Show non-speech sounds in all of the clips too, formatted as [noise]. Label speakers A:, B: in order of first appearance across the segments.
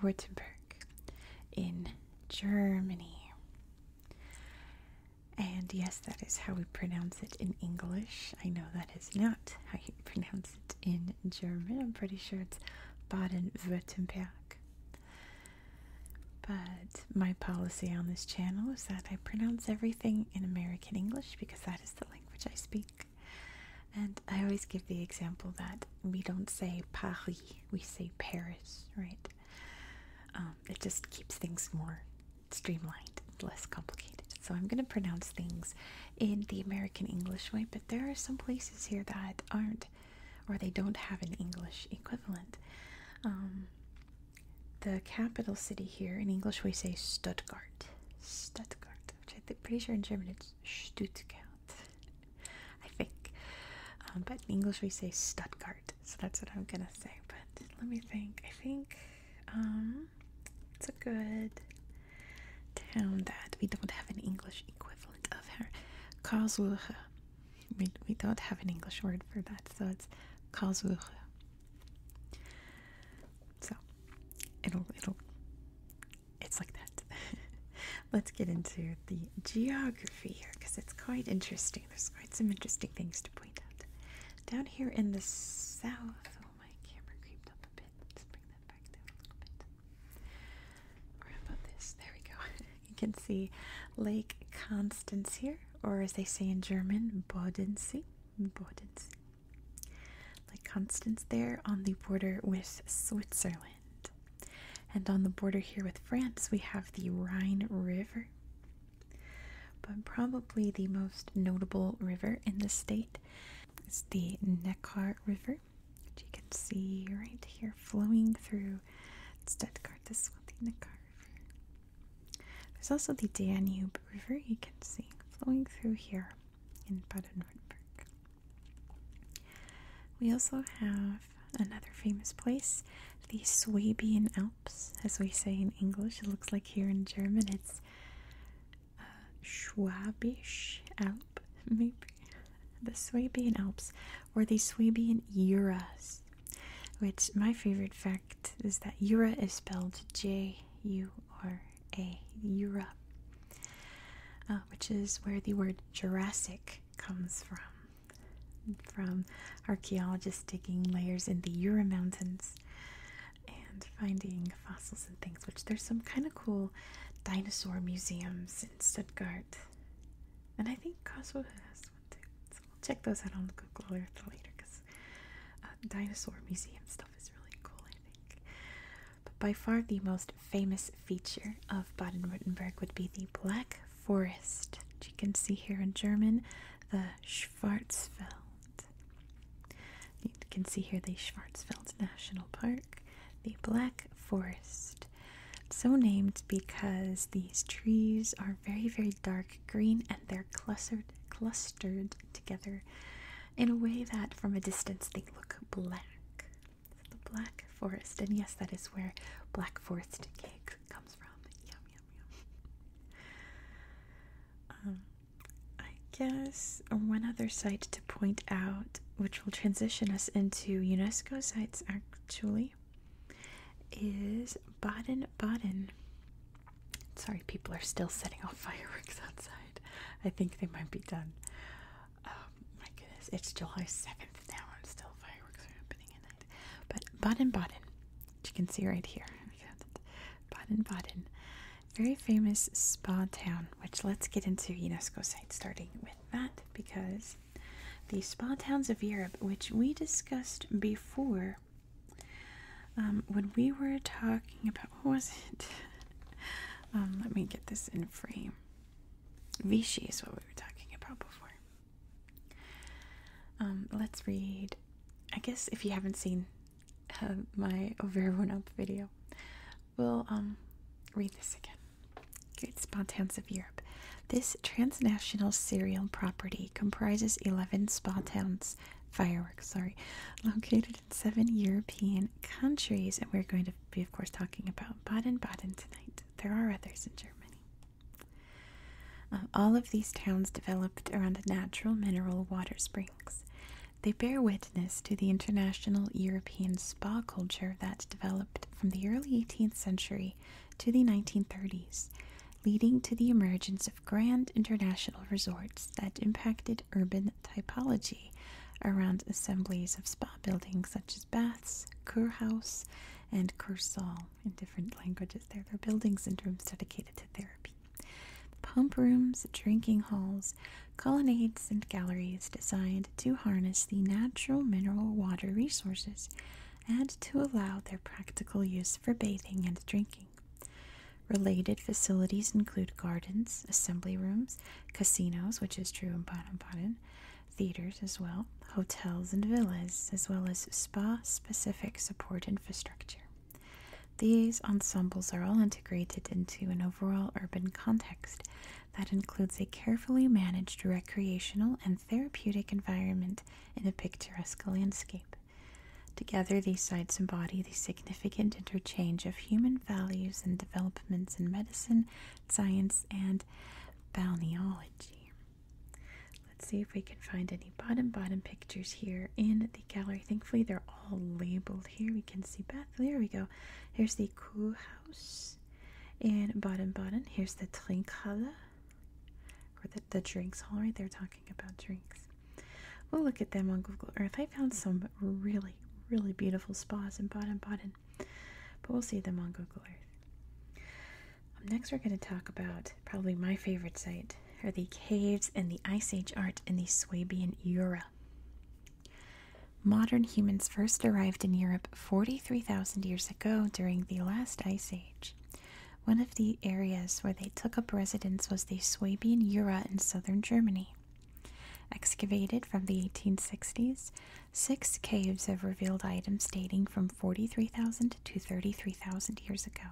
A: Württemberg in Germany. And yes, that is how we pronounce it in English. I know that is not how you [laughs] pronounce it in German. I'm pretty sure it's Baden Württemberg. But my policy on this channel is that I pronounce everything in American English because that is the language I speak. And I always give the example that we don't say Paris we say Paris, right? Um, it just keeps things more streamlined, less complicated. So I'm going to pronounce things in the American English way, but there are some places here that aren't, or they don't have an English equivalent. Um, the capital city here in English we say Stuttgart, Stuttgart, which I'm pretty sure in German it's. Stuttgart, I think. Um, but in English we say Stuttgart, so that's what I'm gonna say. But let me think. I think um, it's a good town that we don't have an English equivalent of her. Karlsruhe. We, we don't have an English word for that, so it's Karlsruhe. So it'll it'll it's like that. [laughs] Let's get into the geography here because it's quite interesting. There's quite some interesting things to point out. Down here in the south, oh, my camera creeped up a bit. Let's bring that back down a little bit. Or about this? There we go. [laughs] you can see Lake Constance here, or as they say in German, Bodensee. Bodensee. Lake Constance there on the border with Switzerland. And on the border here with France, we have the Rhine River. But probably the most notable river in the state is the Neckar River, which you can see right here flowing through Stuttgart. This one, the Neckar There's also the Danube River, you can see flowing through here in Baden Württemberg. We also have another famous place, the Swabian Alps, as we say in English. It looks like here in German it's uh, Schwabisch Alp, [laughs] maybe. The Swabian Alps, or the Swabian Juras, which my favorite fact is that Jura is spelled J U R A, Jura, uh, which is where the word Jurassic comes from from archaeologists digging layers in the Ura Mountains and finding fossils and things, which there's some kind of cool dinosaur museums in Stuttgart. And I think Kosovo has one too. So we'll check those out on Google Earth later because uh, dinosaur museum stuff is really cool, I think. But by far the most famous feature of Baden-Württemberg would be the Black Forest, which you can see here in German, the Schwarzwald. You can see here the Schwarzwald National Park, the Black Forest. so named because these trees are very, very dark green and they're clustered, clustered together in a way that from a distance they look black, the Black Forest. And yes, that is where Black Forest cake comes from. Yum, yum, yum. Um, I guess one other site to point out, which will transition us into UNESCO sites actually, is Baden Baden. Sorry, people are still setting off [laughs] fireworks outside. I think they might be done. Oh my goodness, it's July 7th now and still fireworks are happening in it. But Baden Baden, which you can see right here. [laughs] Baden Baden, very famous spa town, which let's get into UNESCO site starting with that because the spa towns of Europe, which we discussed before um, when we were talking about, [laughs] what was it? Um, let me get this in frame. Vichy is what we were talking about before. Um, let's read. I guess if you haven't seen uh, my over everyone up video, we'll um, read this again. Great spa towns of Europe. This transnational serial property comprises 11 spa towns, fireworks, sorry, located in seven European countries. And we're going to be, of course, talking about Baden Baden tonight there are others in Germany. Uh, all of these towns developed around natural mineral water springs. They bear witness to the international European spa culture that developed from the early 18th century to the 1930s, leading to the emergence of grand international resorts that impacted urban typology around assemblies of spa buildings such as Bath Kurhaus, and Kursal in different languages. There, there are buildings and rooms dedicated to therapy. Pump rooms, drinking halls, colonnades, and galleries designed to harness the natural mineral water resources and to allow their practical use for bathing and drinking. Related facilities include gardens, assembly rooms, casinos, which is true in Baden Baden, theaters as well, hotels and villas, as well as spa specific support infrastructure. These ensembles are all integrated into an overall urban context that includes a carefully managed recreational and therapeutic environment in a picturesque landscape. Together, these sites embody the significant interchange of human values and developments in medicine, science, and balneology. Let's see if we can find any bottom bottom pictures here in the gallery. Thankfully, they're all labeled here. We can see Beth. There we go. Here's the Kuh House in Baden-Baden. Here's the Trinkhalle, or the, the drinks hall right there, talking about drinks. We'll look at them on Google Earth. I found some really, really beautiful spas in Baden-Baden. But we'll see them on Google Earth. Um, next, we're going to talk about probably my favorite site are the caves and the Ice Age art in the Swabian Jura. Modern humans first arrived in Europe 43,000 years ago during the last Ice Age. One of the areas where they took up residence was the Swabian Jura in southern Germany. Excavated from the 1860s, Six caves have revealed items dating from 43,000 to 33,000 years ago.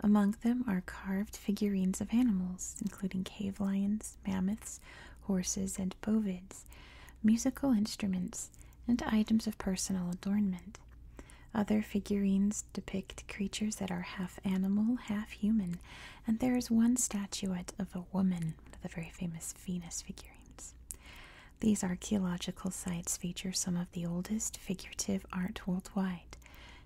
A: Among them are carved figurines of animals, including cave lions, mammoths, horses, and bovids, musical instruments, and items of personal adornment. Other figurines depict creatures that are half animal, half human, and there is one statuette of a woman, one of the very famous Venus figurines. These archaeological sites feature some of the oldest figurative art worldwide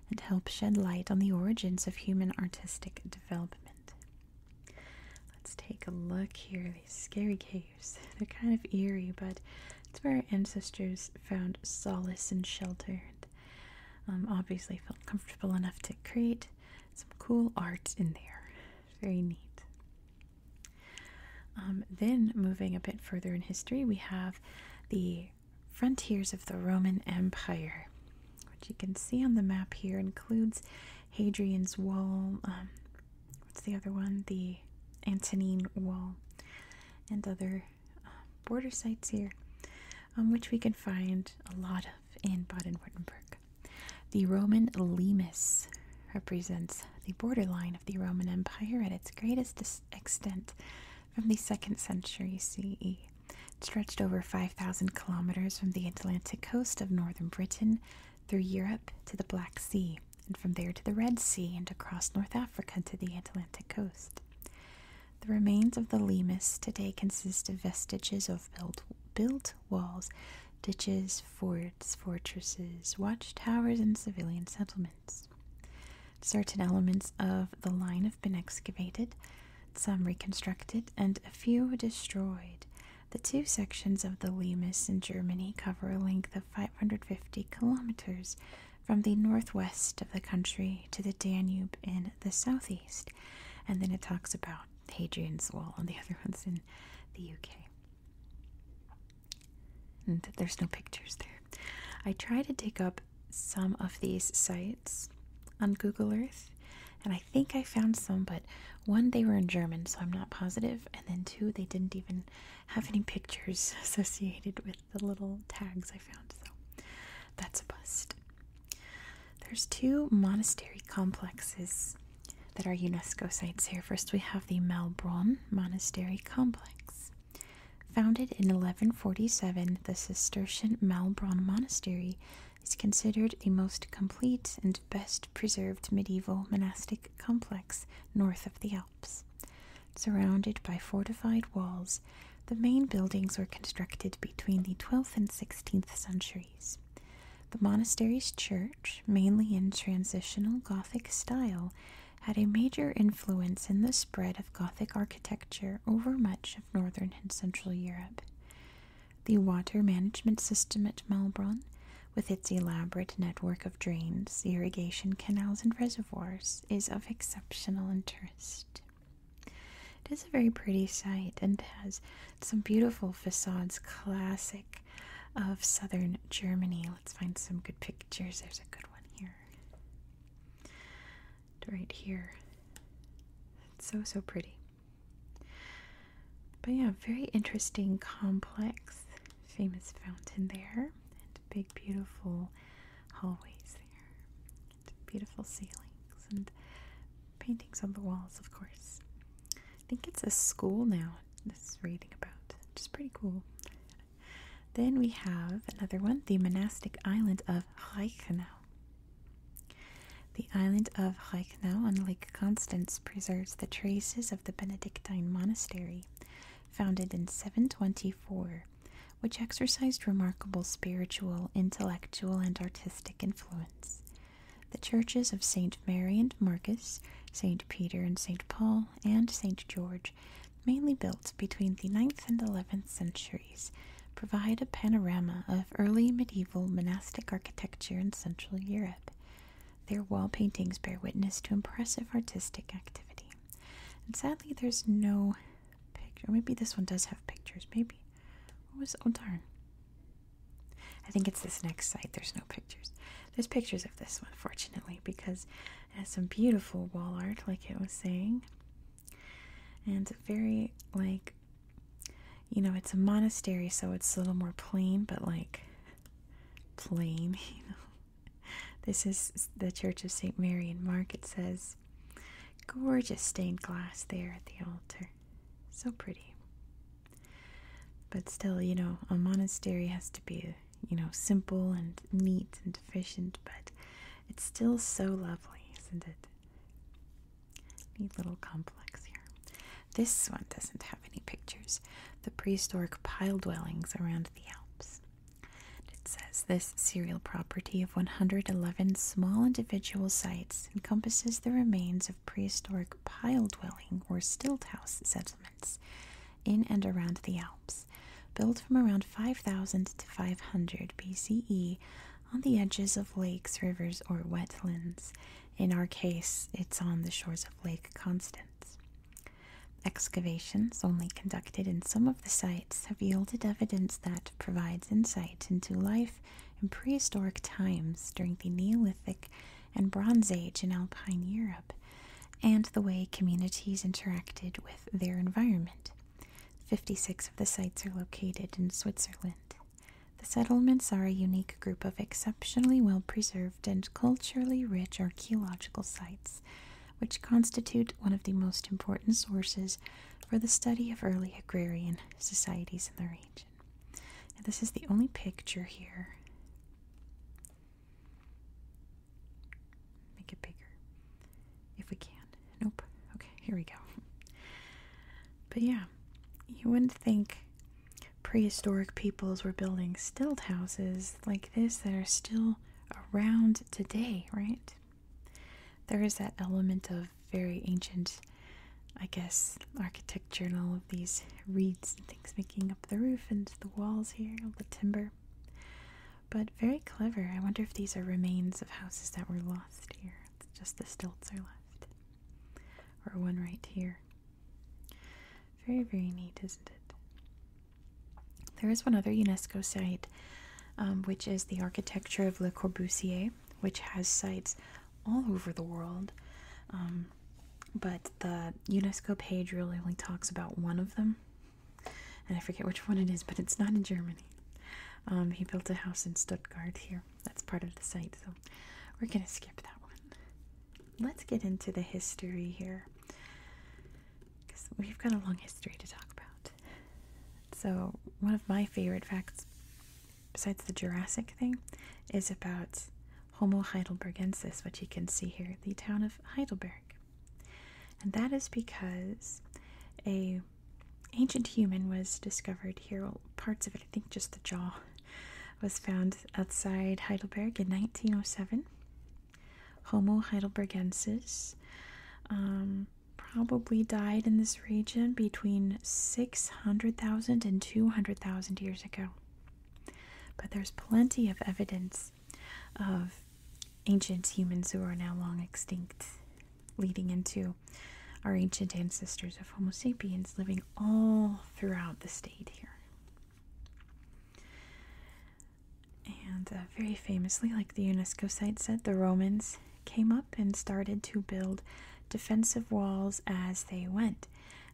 A: and help shed light on the origins of human artistic development. Let's take a look here. These scary caves. [laughs] They're kind of eerie, but it's where our ancestors found solace and shelter. And, um, obviously, felt comfortable enough to create some cool art in there. Very neat. Um, then, moving a bit further in history, we have the frontiers of the Roman Empire, which you can see on the map here includes Hadrian's Wall. Um, what's the other one? The Antonine Wall, and other uh, border sites here, um, which we can find a lot of in Baden Württemberg. The Roman limes represents the borderline of the Roman Empire at its greatest extent from the 2nd century CE. stretched over 5,000 kilometers from the Atlantic coast of northern Britain through Europe to the Black Sea, and from there to the Red Sea and across North Africa to the Atlantic coast. The remains of the limes today consist of vestiges of built walls ditches, forts, fortresses, watchtowers, and civilian settlements. Certain elements of the line have been excavated, some reconstructed, and a few destroyed. The two sections of the Limes in Germany cover a length of 550 kilometers from the northwest of the country to the Danube in the southeast. And then it talks about Hadrian's Wall and the [laughs] other ones in the UK there's no pictures there. I tried to take up some of these sites on Google Earth, and I think I found some, but one, they were in German, so I'm not positive, and then two, they didn't even have any pictures [laughs] associated with the little tags I found, so that's a bust. There's two monastery complexes that are UNESCO sites here. First, we have the Malbronn Monastery Complex. Founded in 1147, the Cistercian Malbronn Monastery is considered the most complete and best preserved medieval monastic complex north of the Alps. Surrounded by fortified walls, the main buildings were constructed between the 12th and 16th centuries. The monastery's church, mainly in transitional Gothic style, had a major influence in the spread of Gothic architecture over much of northern and central Europe. The water management system at Malbronn, with its elaborate network of drains, irrigation canals, and reservoirs, is of exceptional interest. It is a very pretty site and has some beautiful facades, classic of southern Germany. Let's find some good pictures. There's a good one here. Right here. It's so, so pretty. But yeah, very interesting, complex, famous fountain there, and big, beautiful hallways there, beautiful ceilings, and paintings on the walls, of course. I think it's a school now. This is reading about, which is pretty cool. Then we have another one, the monastic island of Reichenau. The island of Reichenau on Lake Constance preserves the traces of the Benedictine monastery, founded in 724, which exercised remarkable spiritual, intellectual, and artistic influence. The churches of St. Mary and Marcus, St. Peter and St. Paul, and St. George, mainly built between the ninth and 11th centuries, provide a panorama of early medieval monastic architecture in Central Europe. Their wall paintings bear witness to impressive artistic activity. And sadly, there's no picture. Maybe this one does have pictures. Maybe. What was. Oh, darn. I think it's this next site. There's no pictures. There's pictures of this one, fortunately, because it has some beautiful wall art, like it was saying. And very, like, you know, it's a monastery, so it's a little more plain, but like, plain, [laughs] you know. This is the Church of St. Mary in Mark. It says, gorgeous stained glass there at the altar. So pretty. But still, you know, a monastery has to be, you know, simple and neat and efficient, but it's still so lovely, isn't it? Neat little complex here. This one doesn't have any pictures. The prehistoric pile dwellings around the Alps. It says this serial property of 111 small individual sites encompasses the remains of prehistoric pile dwelling or stilt house settlers in and around the Alps, built from around 5000 to 500 BCE on the edges of lakes, rivers, or wetlands. In our case, it's on the shores of Lake Constance. Excavations, only conducted in some of the sites, have yielded evidence that provides insight into life in prehistoric times during the Neolithic and Bronze Age in Alpine Europe, and the way communities interacted with their environment. 56 of the sites are located in Switzerland. The settlements are a unique group of exceptionally well preserved and culturally rich archaeological sites, which constitute one of the most important sources for the study of early agrarian societies in the region. Washington. this is the only picture here. Make it bigger if we can. Nope. Okay, here we go. But yeah, you wouldn't think prehistoric peoples were building stilt houses like this that are still around today, right? There is that element of very ancient, I guess, architecture picture all of these reeds and things making up the roof and the walls here, all the timber. But very clever. I wonder if these are remains of houses that were lost here. It's just the stilts are left. Or one right here. Very, very neat, isn't it? There is one other UNESCO site, um, which is the architecture of Le Corbusier, which has sites all over the world. Um, but the UNESCO page really only talks about one of them, and I forget which one it is, but it's not in Germany. Um, he built a house in Stuttgart here. That's part of the site, so we're gonna skip that one. Let's get into the history here, because we've got a long history to talk about. So, one of my favorite facts, besides the Jurassic thing, is about Homo heidelbergensis, which you can see here, the town of Heidelberg. And that is because a ancient human was discovered here. parts of it, I think just the jaw, was found outside Heidelberg in 1907. Homo heidelbergensis um, probably died in this region between 600,000 and 200,000 years ago. But there's plenty of evidence of ancient humans who are now long extinct, leading into our ancient ancestors of Homo sapiens living all throughout the state here. And uh, very famously, like the UNESCO site said, the Romans came up and started to build defensive walls as they went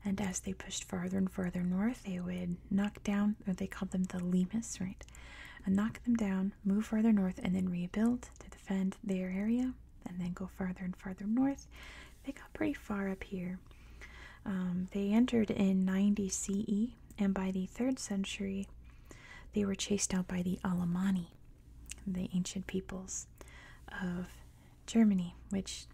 A: and as they pushed farther and farther north, they would knock down, or they called them the Lemus, right? And knock them down, move further north, and then rebuild to defend their area, and then go farther and farther north. They got pretty far up here. Um, they entered in 90 CE, and by the third century, they were chased out by the Alemanni, the ancient peoples of Germany, which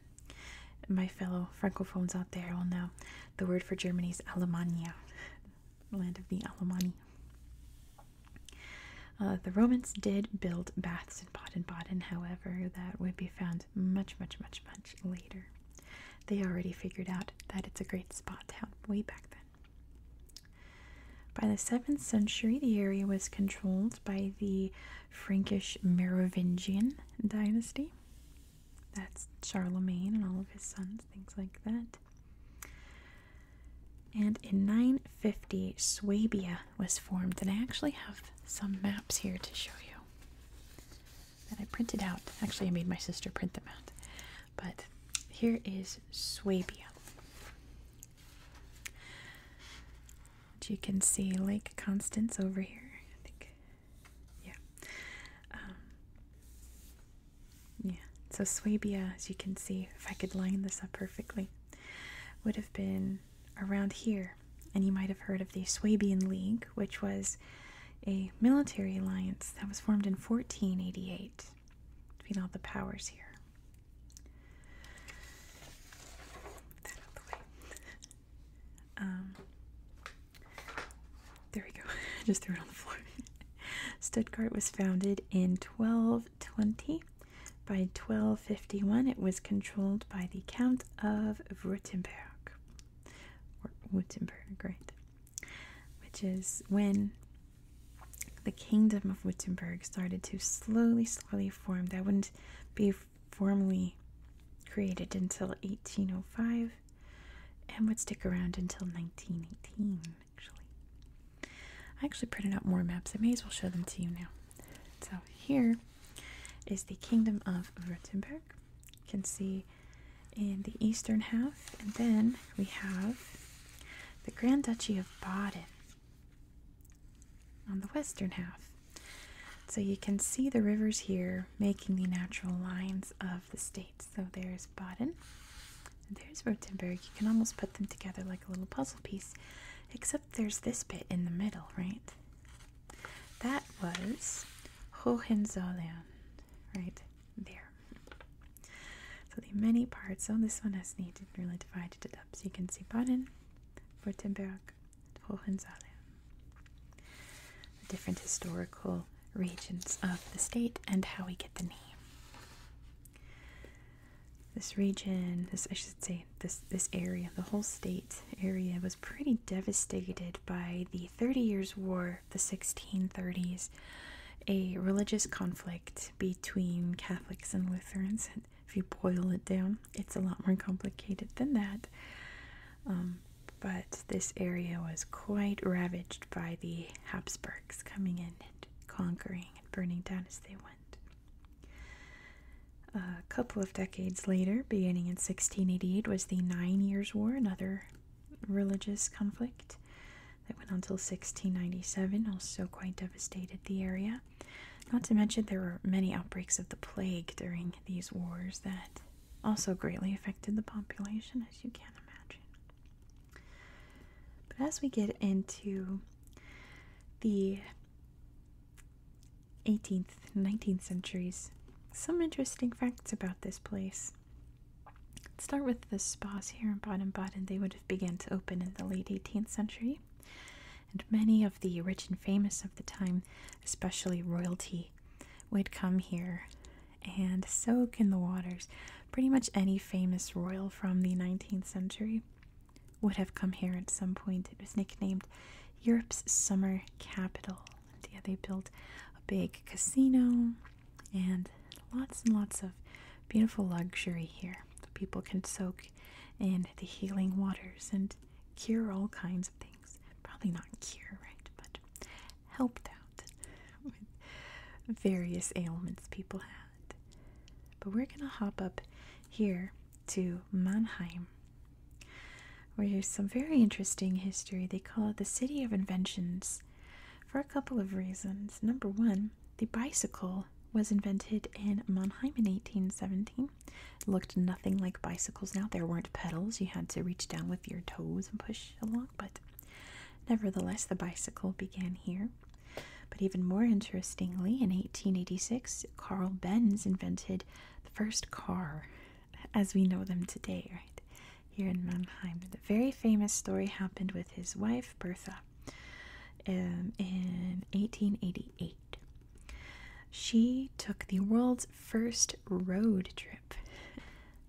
A: my fellow francophones out there will know. The word for Germany is Alemania, land of the Alemanni. Uh, the Romans did build baths in Baden-Baden, however, that would be found much, much, much, much later. They already figured out that it's a great spa town way back then. By the 7th century, the area was controlled by the Frankish Merovingian dynasty. That's Charlemagne and all of his sons, things like that. And in 950, Swabia was formed. And I actually have some maps here to show you that I printed out. Actually, I made my sister print them out. But here is Swabia which you can see Lake Constance over here. I think, yeah, um, yeah. So Swabia, as you can see, if I could line this up perfectly, would have been around here, and you might have heard of the Swabian League, which was a military alliance that was formed in 1488 between all the powers here. Um, there we go. [laughs] just threw it on the floor. [laughs] Stuttgart was founded in 1220. By 1251, it was controlled by the Count of Württemberg, Württemberg, right? Which is when the Kingdom of Württemberg started to slowly, slowly form. That wouldn't be formally created until 1805 and would stick around until 1918 actually i actually printed out more maps i may as well show them to you now so here is the kingdom of württemberg you can see in the eastern half and then we have the grand duchy of baden on the western half so you can see the rivers here making the natural lines of the states. So there's Baden, there's Württemberg. You can almost put them together like a little puzzle piece, except there's this bit in the middle, right? That was Hohenzollern, right there. So the many parts, so this one has needed really divided it up. So you can see Baden, Württemberg, Hohenzollern, different historical regions of the state, and how we get the name. This region, this I should say, this this area, the whole state area, was pretty devastated by the Thirty Years' War, the 1630s, a religious conflict between Catholics and Lutherans. If you boil it down, it's a lot more complicated than that. Um, but this area was quite ravaged by the Habsburgs coming in and conquering and burning down as they went. A couple of decades later, beginning in 1688, was the Nine Years' War, another religious conflict that went on until 1697, also quite devastated the area. Not to mention, there were many outbreaks of the plague during these wars that also greatly affected the population, as you can imagine. But as we get into the 18th, 19th centuries, some interesting facts about this place. start with the spas here in Baden-Baden. They would have begun to open in the late 18th century, and many of the rich and famous of the time, especially royalty, would come here and soak in the waters. Pretty much any famous royal from the 19th century would have come here at some point. It was nicknamed Europe's summer capital. And yeah, they built a big casino and lots and lots of beautiful luxury here. So people can soak in the healing waters and cure all kinds of things. Probably not cure, right? But helped out [laughs] with various ailments people had. But we're gonna hop up here to Mannheim, where there's some very interesting history. They call it the City of Inventions for a couple of reasons. Number one, the bicycle was invented in Mannheim in 1817. Looked nothing like bicycles now. There weren't pedals. You had to reach down with your toes and push along, but nevertheless, the bicycle began here. But even more interestingly, in 1886, Carl Benz invented the first car as we know them today, right? Here in Mannheim. The very famous story happened with his wife, Bertha, um, in 1888. She took the world's first road trip.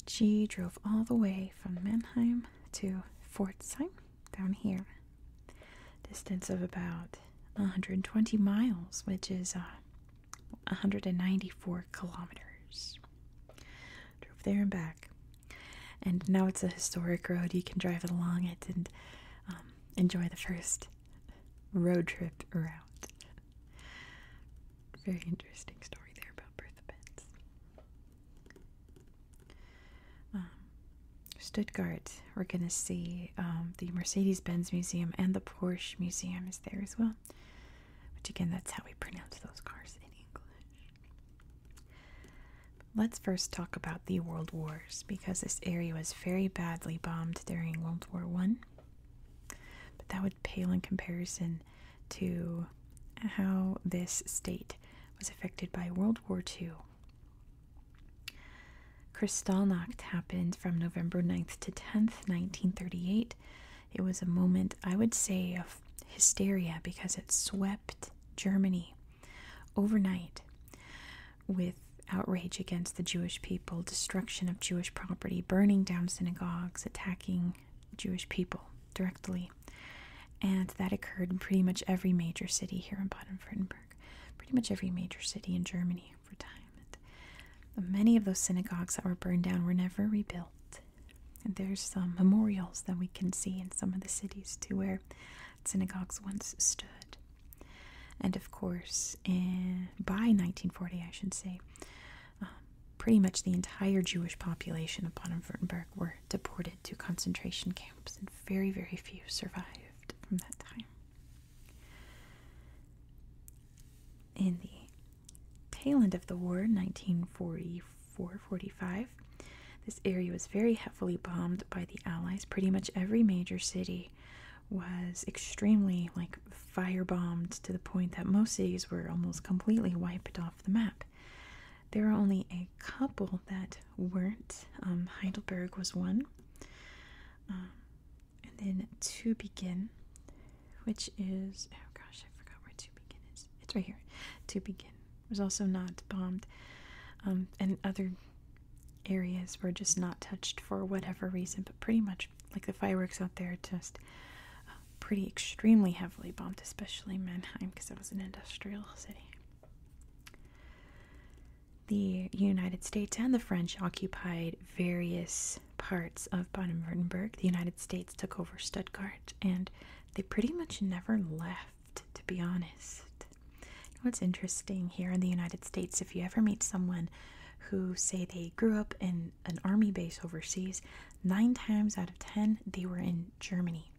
A: She drove all the way from Mannheim to Fortsheim, down here. Distance of about 120 miles, which is uh, 194 kilometers. Drove there and back. And now it's a historic road. You can drive along it and um, enjoy the first road trip around. Very interesting story there about Bertha Benz. Um, Stuttgart, we're going to see um, the Mercedes Benz Museum and the Porsche Museum is there as well. Which, again, that's how we pronounce those cars in English. Let's first talk about the World Wars because this area was very badly bombed during World War One. But that would pale in comparison to how this state was affected by World War II. Kristallnacht happened from November 9th to 10th, 1938. It was a moment, I would say, of hysteria because it swept Germany overnight with outrage against the Jewish people, destruction of Jewish property, burning down synagogues, attacking Jewish people directly. And that occurred in pretty much every major city here in Baden Württemberg, pretty much every major city in Germany over time. many of those synagogues that were burned down were never rebuilt. And there's some memorials that we can see in some of the cities to where synagogues once stood. And of course, by 1940, I should say, um, pretty much the entire Jewish population of and wurttemberg were deported to concentration camps, and very, very few survived from that time. In the tail end of the war, 1944-45, this area was very heavily bombed by the Allies. Pretty much every major city was extremely like firebombed to the point that most cities were almost completely wiped off the map. There are only a couple that weren't. Um, Heidelberg was one. Um, and then to begin, which is oh gosh, I forgot where to begin is. It's right here. To begin was also not bombed, um, and other areas were just not touched for whatever reason. But pretty much like the fireworks out there just uh, pretty extremely heavily bombed, especially Mannheim because it was an industrial city. The United States and the French occupied various parts of Baden-Württemberg. The United States took over Stuttgart and they pretty much never left, to be honest. what's interesting here in the United States, if you ever meet someone who say they grew up in an army base overseas, nine times out of ten, they were in Germany.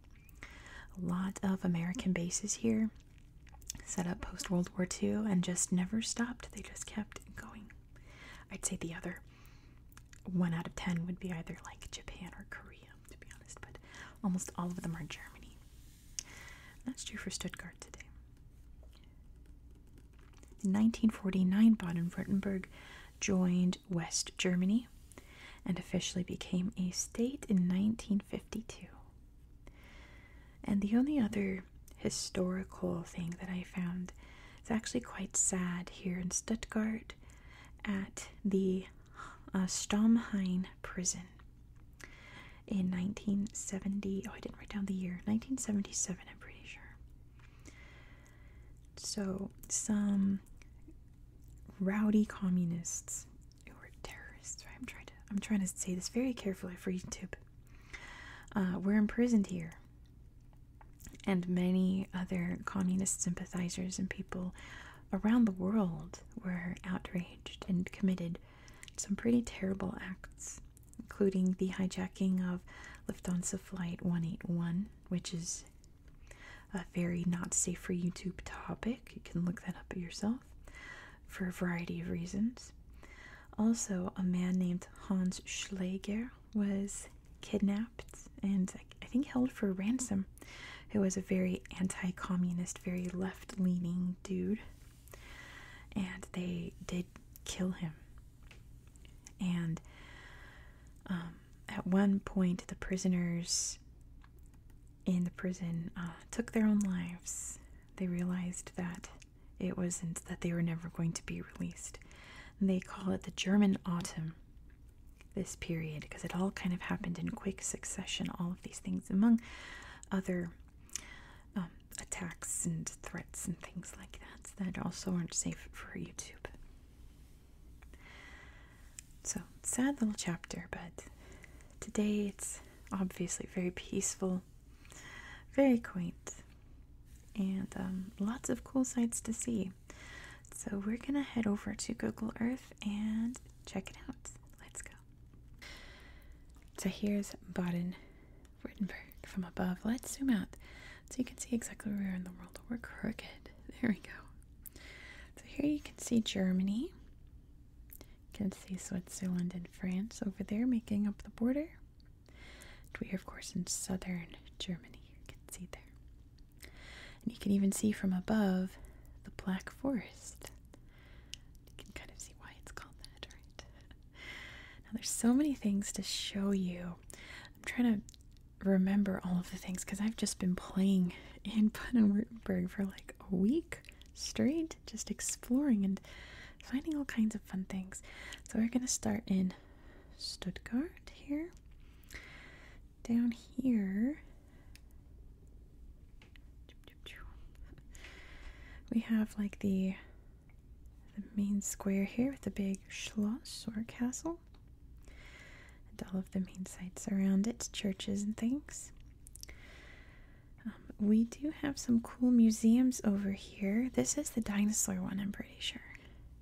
A: A lot of American bases here set up post World War II and just never stopped. They just kept going. I'd say the other one out of ten would be either like Japan or Korea, to be honest, but almost all of them are Germany. that's true for Stuttgart today. In 1949, Baden Württemberg joined West Germany and officially became a state in 1952. And the only other historical thing that I found is actually quite sad here in Stuttgart at the uh, Stammheim prison. In 1970, oh, I didn't write down the year, 1977, I'm pretty sure. So, some rowdy communists who were terrorists, I'm trying to I'm trying to say this very carefully for YouTube. Uh, were imprisoned here, and many other communist sympathizers and people around the world were outraged and committed some pretty terrible acts including the hijacking of Lufthansa Flight 181, which is a very not safe for YouTube topic. You can look that up yourself for a variety of reasons. Also, a man named Hans Schlegel was kidnapped and I think held for ransom. Who was a very anti communist, very left leaning dude. And they did kill him. And um, at one point, the prisoners in the prison uh, took their own lives. They realized that it wasn't that they were never going to be released. they call it the German autumn, this period, because it all kind of happened in quick succession, all of these things, among other um, attacks and threats and things like that that also aren't safe for YouTube. So, sad little chapter, but today it's obviously very peaceful, very quaint, and um, lots of cool sights to see. So, we're gonna head over to Google Earth and check it out. Let's go. So, here's Baden Wittenberg from above. Let's zoom out so you can see exactly where we are in the world. We're crooked. There we go. So here you can see Germany. You can see Switzerland and France over there making up the border. we are, of course, in southern Germany. You can see there. And you can even see from above the Black Forest. You can kind of see why it's called that, right? Now, there's so many things to show you. I'm trying to remember all of the things because I've just been playing in [laughs] Baden-Württemberg for like a week straight, just exploring and finding all kinds of fun things. So, we're going to start in Stuttgart here. Down here, we have like the the main square here with the big schloss or castle, and all of the main sites around it, churches and things. Um, we do have some cool museums over here. This is the dinosaur one, I'm pretty sure.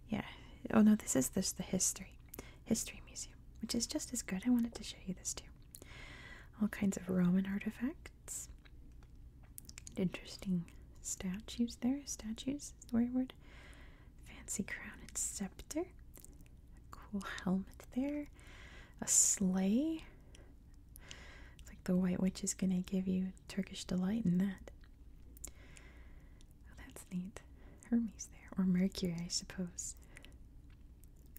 A: Yeah. Oh no, this is this the history, history museum, which is just as good. I wanted to show you this too. All kinds of Roman artifacts interesting statues there. Statues is the word. Fancy crown and scepter. cool helmet there. A sleigh. It's like the White Witch is gonna give you Turkish delight in that. Oh, that's neat. Hermes there. Or Mercury, I suppose.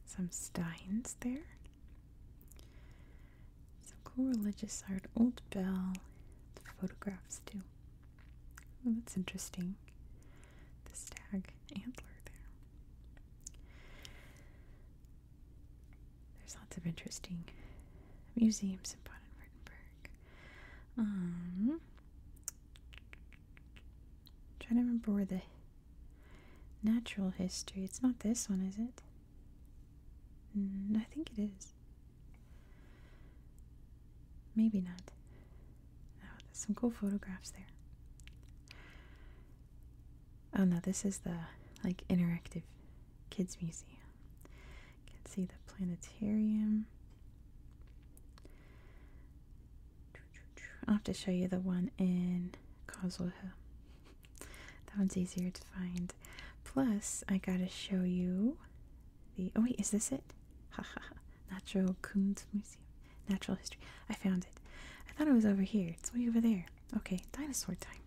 A: Some steins there. Some cool religious art, Old Bell, the photographs too. that's interesting. The stag antler there. There's lots of interesting museums in Baden-Württemberg. Um, trying to remember where the natural history. It's not this one, is it? Mm, I think it is. Maybe not. Oh, there's some cool photographs there. Oh no, this is the like interactive kids museum. You can see the planetarium. I'll have to show you the one in Causal That one's easier to find plus, I gotta show you the. Oh, wait, is this it? Haha. Natural Kunst Natural History. I found it. I thought it was over here. It's way over there. Okay, dinosaur time.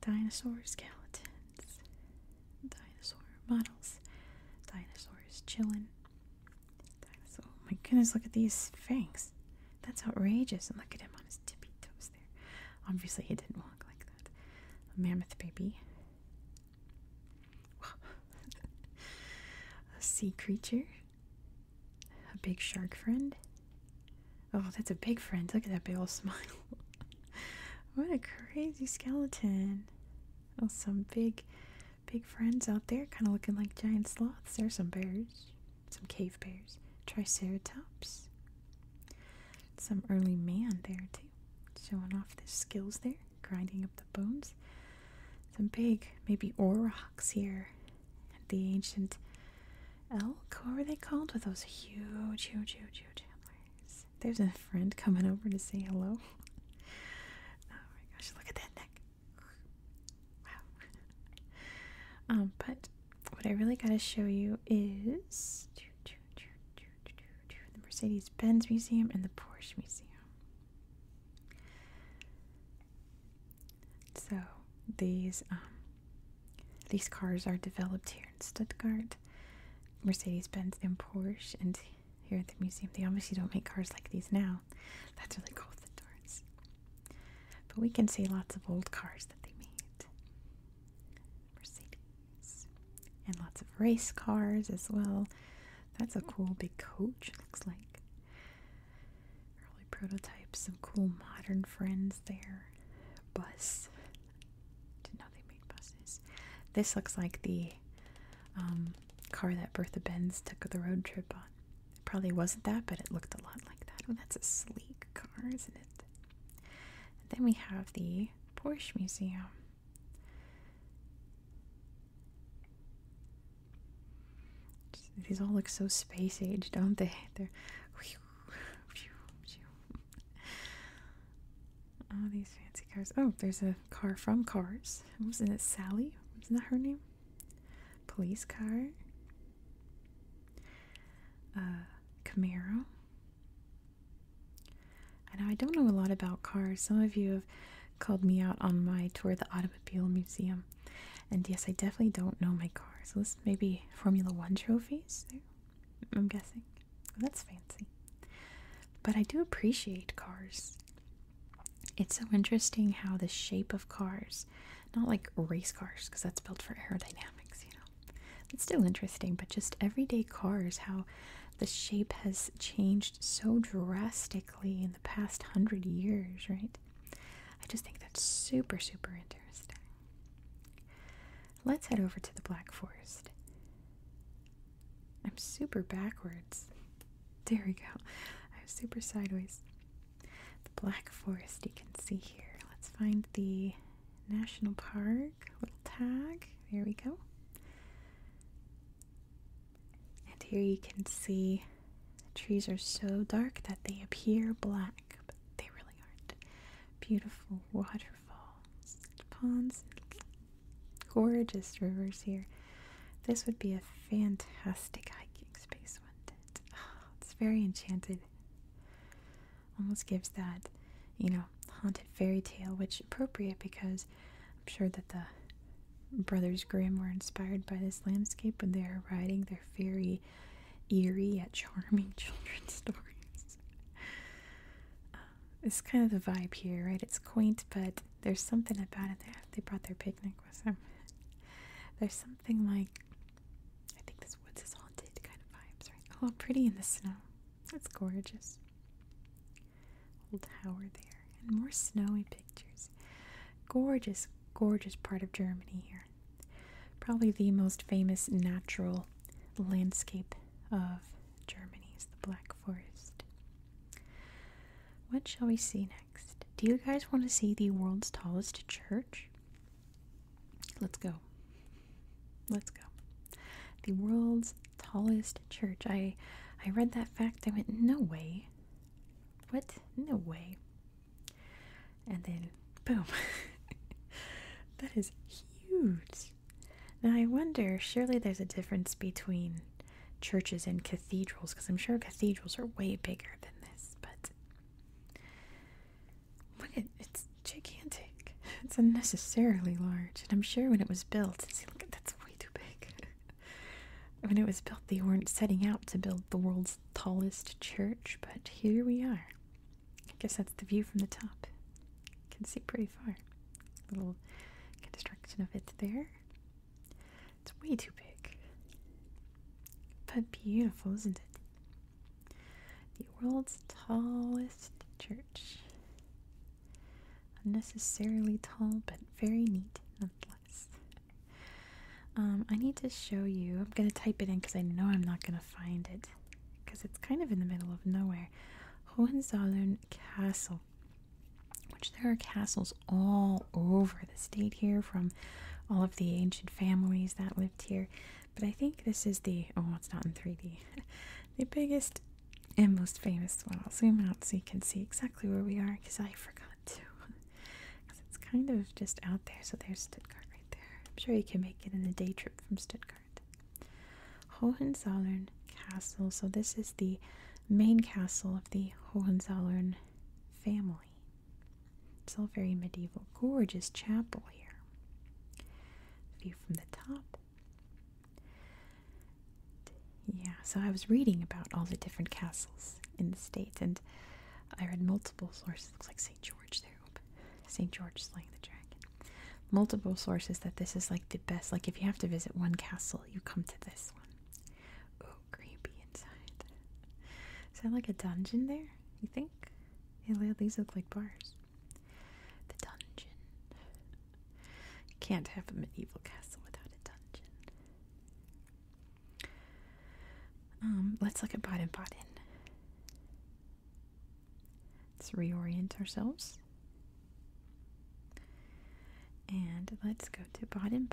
A: Dinosaur skeletons. Dinosaur models. Dinosaurs chilling. Oh my goodness, look at these fangs. That's outrageous. And look at him on his tippy toes. Obviously, he didn't walk like that. A mammoth baby. [laughs] a sea creature. A big shark friend. Oh, that's a big friend. Look at that big old [laughs] smile. what a crazy skeleton. Oh, some big, big friends out there, kind of looking like giant sloths. There's some bears, some cave bears, triceratops, some early man there too, showing off their skills there, grinding up the bones. Some big, maybe ore rocks here at the ancient elk. What were they called? With those huge, huge, huge, huge antlers. There's a friend coming over to say hello. [laughs] oh my gosh, look at that neck. Wow. um, but what I really got to show you is. Choo, choo, choo, choo the Mercedes Benz Museum, and the Porsche Museum. So these um, these cars are developed here in Stuttgart, Mercedes Benz and Porsche, and here at the museum. They obviously don't make cars like these now. That's really cool the doors. But we can see lots of old cars that they made. Mercedes. And lots of race cars as well. That's a cool big coach, looks like. Early prototypes, some cool modern friends there. Bus. Didn't they made buses. This looks like the um, car that Bertha Benz took the road trip on. probably wasn't that, but it looked a lot like that. Oh, that's a sleek car, isn't it? then we have the Porsche Museum. these all look so space age, don't they? [laughs] They're. All these fancy cars. Oh, there's a car from Cars. Wasn't it Sally? Wasn't that her name? Police car. Uh, Camaro. I know I don't know a lot about cars. Some of you have called me out on my tour of the Automobile Museum. And yes, I definitely don't know my cars. So this may be Formula One trophies I'm guessing. that's fancy. But I do appreciate cars. It's so interesting how the shape of cars, not like race cars, because that's built for aerodynamics, you know, it's still interesting, but just everyday cars, how the shape has changed so drastically in the past hundred years, right? I just think that's super, super interesting. Let's head over to the Black Forest. I'm super backwards. There we go. I'm super sideways. The Black Forest, you can see here. Let's find the National Park, little tag. There we go. And here you can see trees are so dark that they appear black, but they really aren't. Beautiful waterfalls, ponds, gorgeous rivers here. This would be a fantastic hiking space, wouldn't it? Oh, it's very enchanted almost gives that, you know, haunted fairy tale, which appropriate because I'm sure that the Brothers Grimm were inspired by this landscape when they are writing their very eerie yet charming [laughs] children's stories. Um, it's kind of the vibe here, right? It's quaint, but there's something about it. They, they brought their picnic with them. There's something like, I think this woods is haunted kind of vibes, right? Oh, pretty in the snow. That's gorgeous. Old tower there. And more snowy pictures. Gorgeous, gorgeous part of Germany here. Probably the most famous natural landscape of Germany is the Black Forest. What shall we see next? Do you guys want to see the world's tallest church? Let's go. Let's go. The world's tallest church. I I read that fact. I went, no way. What? No way. And then boom. [laughs] that is huge. Now I wonder, surely there's a difference between churches and cathedrals, because I'm sure cathedrals are way bigger than this, but look it's gigantic. It's unnecessarily large, and I'm sure when it was built, see, look, that's way too big. [laughs] when it was built, they weren't setting out to build the world's tallest church, but here we are. I guess that's the view from the top. You can see pretty far. Little construction of it there. It's way too big. But beautiful, isn't it? The world's tallest church. Unnecessarily tall, but very neat nonetheless. Um, I need to show you. I'm going to type it in because I know I'm not going to find it because it's kind of in the middle of nowhere. Hohenzollern Castle, which there are castles all over the state here from all of the ancient families that lived here. But I think this is the oh, it's not in 3D. [laughs] the biggest and most famous one. I'll zoom out so you can see exactly where we are because I forgot to. Because [laughs] it's kind of just out there. So there's Stuttgart right there. I'm sure you can make it in a day trip from Stuttgart. Hohenzollern Castle. So this is the main castle of the Hohenzollern family. It's all very medieval. Gorgeous chapel here. View from the top. Yeah, so I was reading about all the different castles in the state, and I read multiple sources. It looks like St. George there. St. George slaying the dragon. Multiple sources that this is like the best. Like, if you have to visit one castle, you come to this one. Oh, creepy inside. Is that like a dungeon there? You think? Yeah, these look like bars. The dungeon. can't have a medieval castle without a dungeon. Um, let's look at Baden Baden. Let's reorient ourselves. And let's go to Baden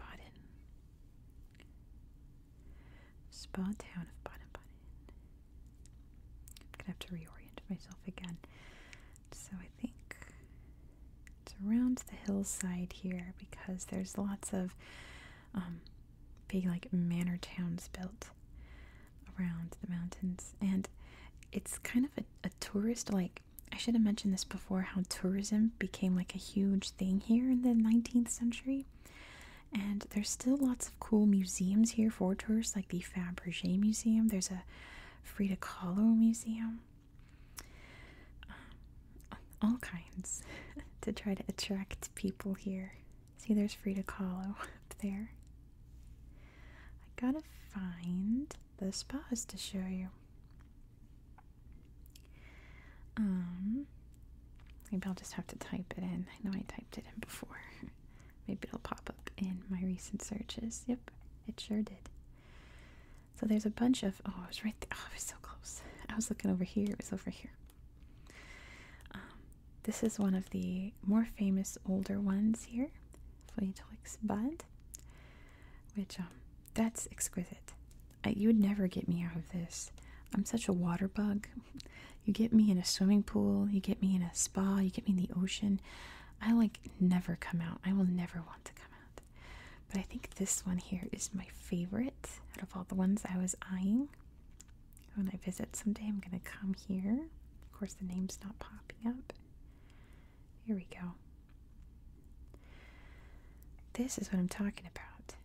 A: Spa town of Baden Baden. I'm gonna have to reorient myself again. So I think it's around the hillside here because there's lots of um, big like manor towns built around the mountains, and it's kind of a, tourist like. I should have mentioned this before how tourism became like a huge thing here in the 19th century. And there's still lots of cool museums here for tours like the Fabergé Museum. There's a Frida Kahlo Museum. Um, all kinds [laughs] to try to attract people here. See, there's Frida Kahlo [laughs] up there. I gotta find the spas to show you. Um, maybe I'll just have to type it in. I know I typed it in before. Maybe it'll pop up in my recent searches. Yep, it sure did. So there's a bunch of. Oh, it was right there. Oh, I was so close. I was looking over here. It was over here. Um, this is one of the more famous older ones here, Feuilletelix Bud, which, um, that's exquisite. you would never get me out of this. I'm such a water bug. You get me in a swimming pool, you get me in a spa, you get me in the ocean. I like never come out. I will never want to come out. But I think this one here is my favorite out of all the ones I was eyeing. When I visit someday, I'm going to come here. Of course, the name's not popping up. Here we go. This is what I'm talking about.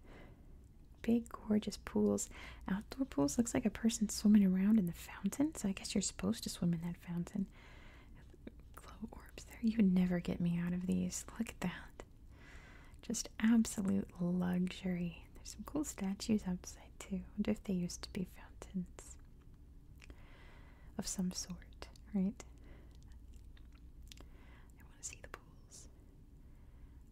A: Big, gorgeous pools. Outdoor pools looks like a person swimming around in the the fountain, so I guess you're supposed to swim in that fountain. Glow orbs there. You never get me out of these. Look at that. Just absolute luxury. There's some cool statues outside too. wonder if they used to be fountains of some sort, right? I want to see the pools.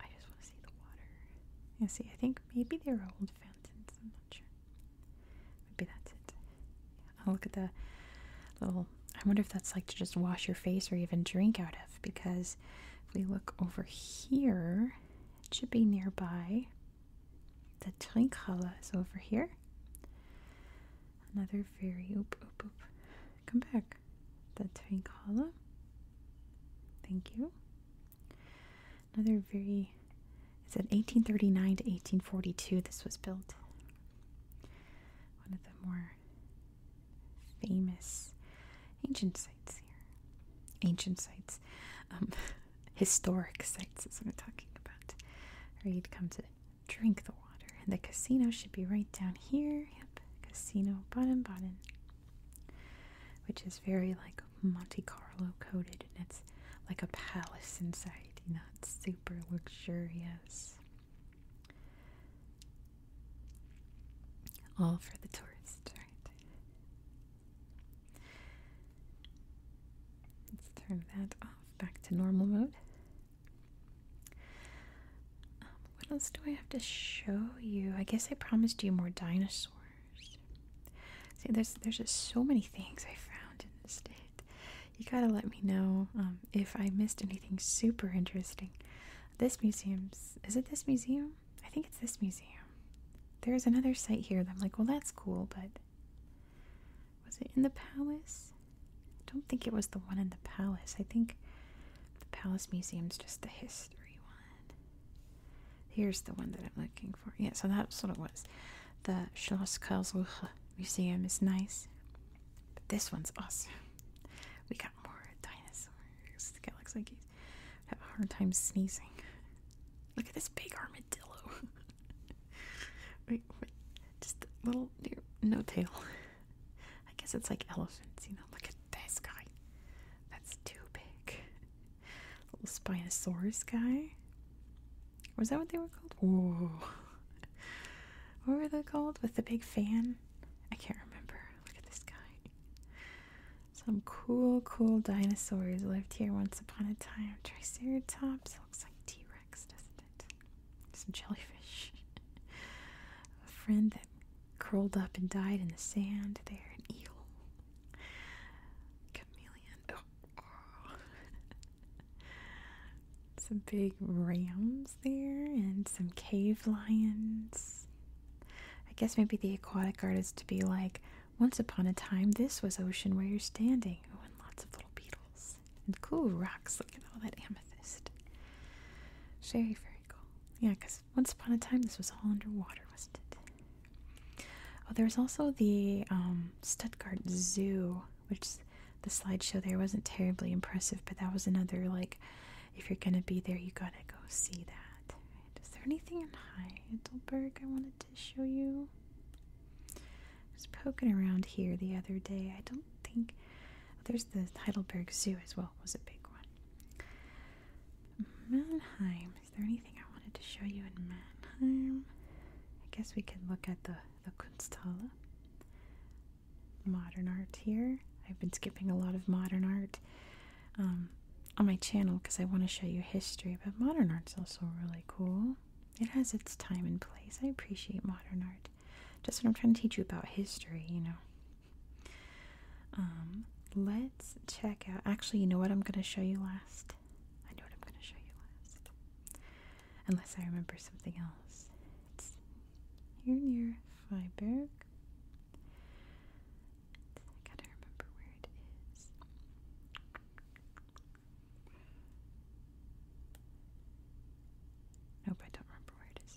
A: I just want to see the water. Yeah, see, I think maybe they are old fountains. I'm not sure. Maybe that's it. will look at the little. I wonder if that's like to just wash your face or even drink out of. Because if we look over here, it should be nearby. The Trinkhalle is over here. Another very oop oop oop. Come back. The Trinkhalle. Thank you. Another very, it said 1839 to 1842 this was built. One of the more famous ancient sites here. Ancient sites. Um, [laughs] historic sites is what I'm talking about. Or you'd come to drink the water. And the casino should be right down here. Yep, casino bottom bottom. Which is very like Monte Carlo coated and it's like a palace inside, not super luxurious. All for the tourists, right? Let's turn that off back to normal mode. Um, what else do I have to show you? I guess I promised you more dinosaurs. See, there's there's just so many things I found in the state. You gotta let me know um, if I missed anything super interesting. This museum's is it this museum? I think it's this museum. There's another site here that I'm like, well, that's cool, but was it in the palace? don't think it was the one in the palace. I think the palace museum's just the history one. Here's the one that I'm looking for. Yeah, so that's what it was. The Schloss Karlsruhe Museum is nice, but this one's awesome. We got more dinosaurs, looks like I have a hard time sneezing. Look at this big armadillo. [laughs] wait, wait, just a little, no tail. [laughs] I guess it's like elephants, you know. Look at this guy. That's too big. Little Spinosaurus guy. Was that what they were called? Whoa. [laughs] What were they called? With the big fan? I can't remember. Look at this guy. Some cool, cool dinosaurs lived here once upon a time. Triceratops. looks like T Rex, doesn't it? Some jellyfish. [laughs] a friend that curled up and died in the sand there. An eel. Chameleon. Oh. some big rams there and some cave lions. I guess maybe the aquatic art is to be like, once upon a time, this was ocean where you're standing. Oh, and lots of little beetles and cool rocks. Look at all that amethyst. Very, very cool. Yeah, because once upon a time, this was all underwater, wasn't it? Oh, there's also the um, Stuttgart Zoo, which the slideshow there wasn't terribly impressive, but that was another like, if you're gonna be there, you gotta go see that. Is there anything in Heidelberg I wanted to show you? I was poking around here the other day. I don't think oh, there's the Heidelberg Zoo as well. Was a big one. Mannheim is there anything I wanted to show you in Mannheim? I guess we could look at the, the Kunsthalle. Modern art here. I've been skipping a lot of modern art um, on my channel because I want to show you history, but modern art's also really cool. It has its time and place. I appreciate modern art. Just what I'm trying to teach you about history, you know. Um, let's check out. Actually, you know what I'm going to show you last? I know what I'm going to show you last. Unless I remember something else. It's here near Freiburg. I gotta remember where it is. Nope, I don't remember where it is.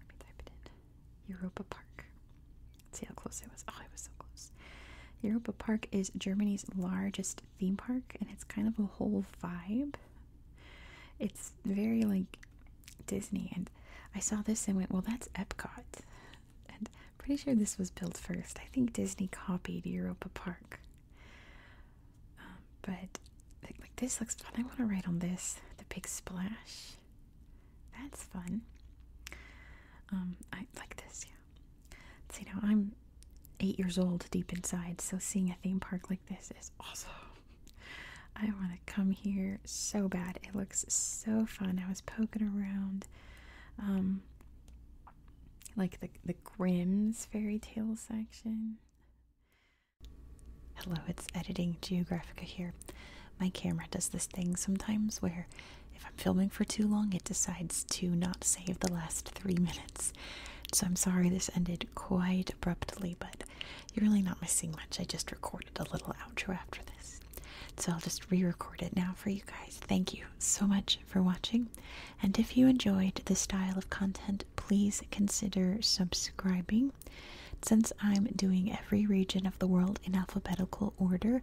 A: Let me type it in. Europa Park. See how close it was? Oh, it was so close. Europa Park is Germany's largest theme park, and it's kind of a whole vibe. It's very like Disney, and I saw this and went, well, that's Epcot. And I'm pretty sure this was built first. I think Disney copied Europa Park. Um, but like, this looks fun. I want to write on this the big splash. That's fun. Um, I like this. Yeah, See, now I'm eight years old deep inside, so seeing a theme park like this is awesome. [laughs] I want to come here so bad. It looks so fun. I was poking around, um, like the the Grimm's fairy tale section. Hello, it's editing Geographica here. My camera does this thing sometimes where if I'm filming for too long, it decides to not save the last three minutes. So I'm sorry this ended quite abruptly, but you're really not missing much. I just recorded a little outro after this. So I'll just re record it now for you guys. Thank you so much for watching. And if you enjoyed this style of content, please consider subscribing. Since I'm doing every region of the world in alphabetical order,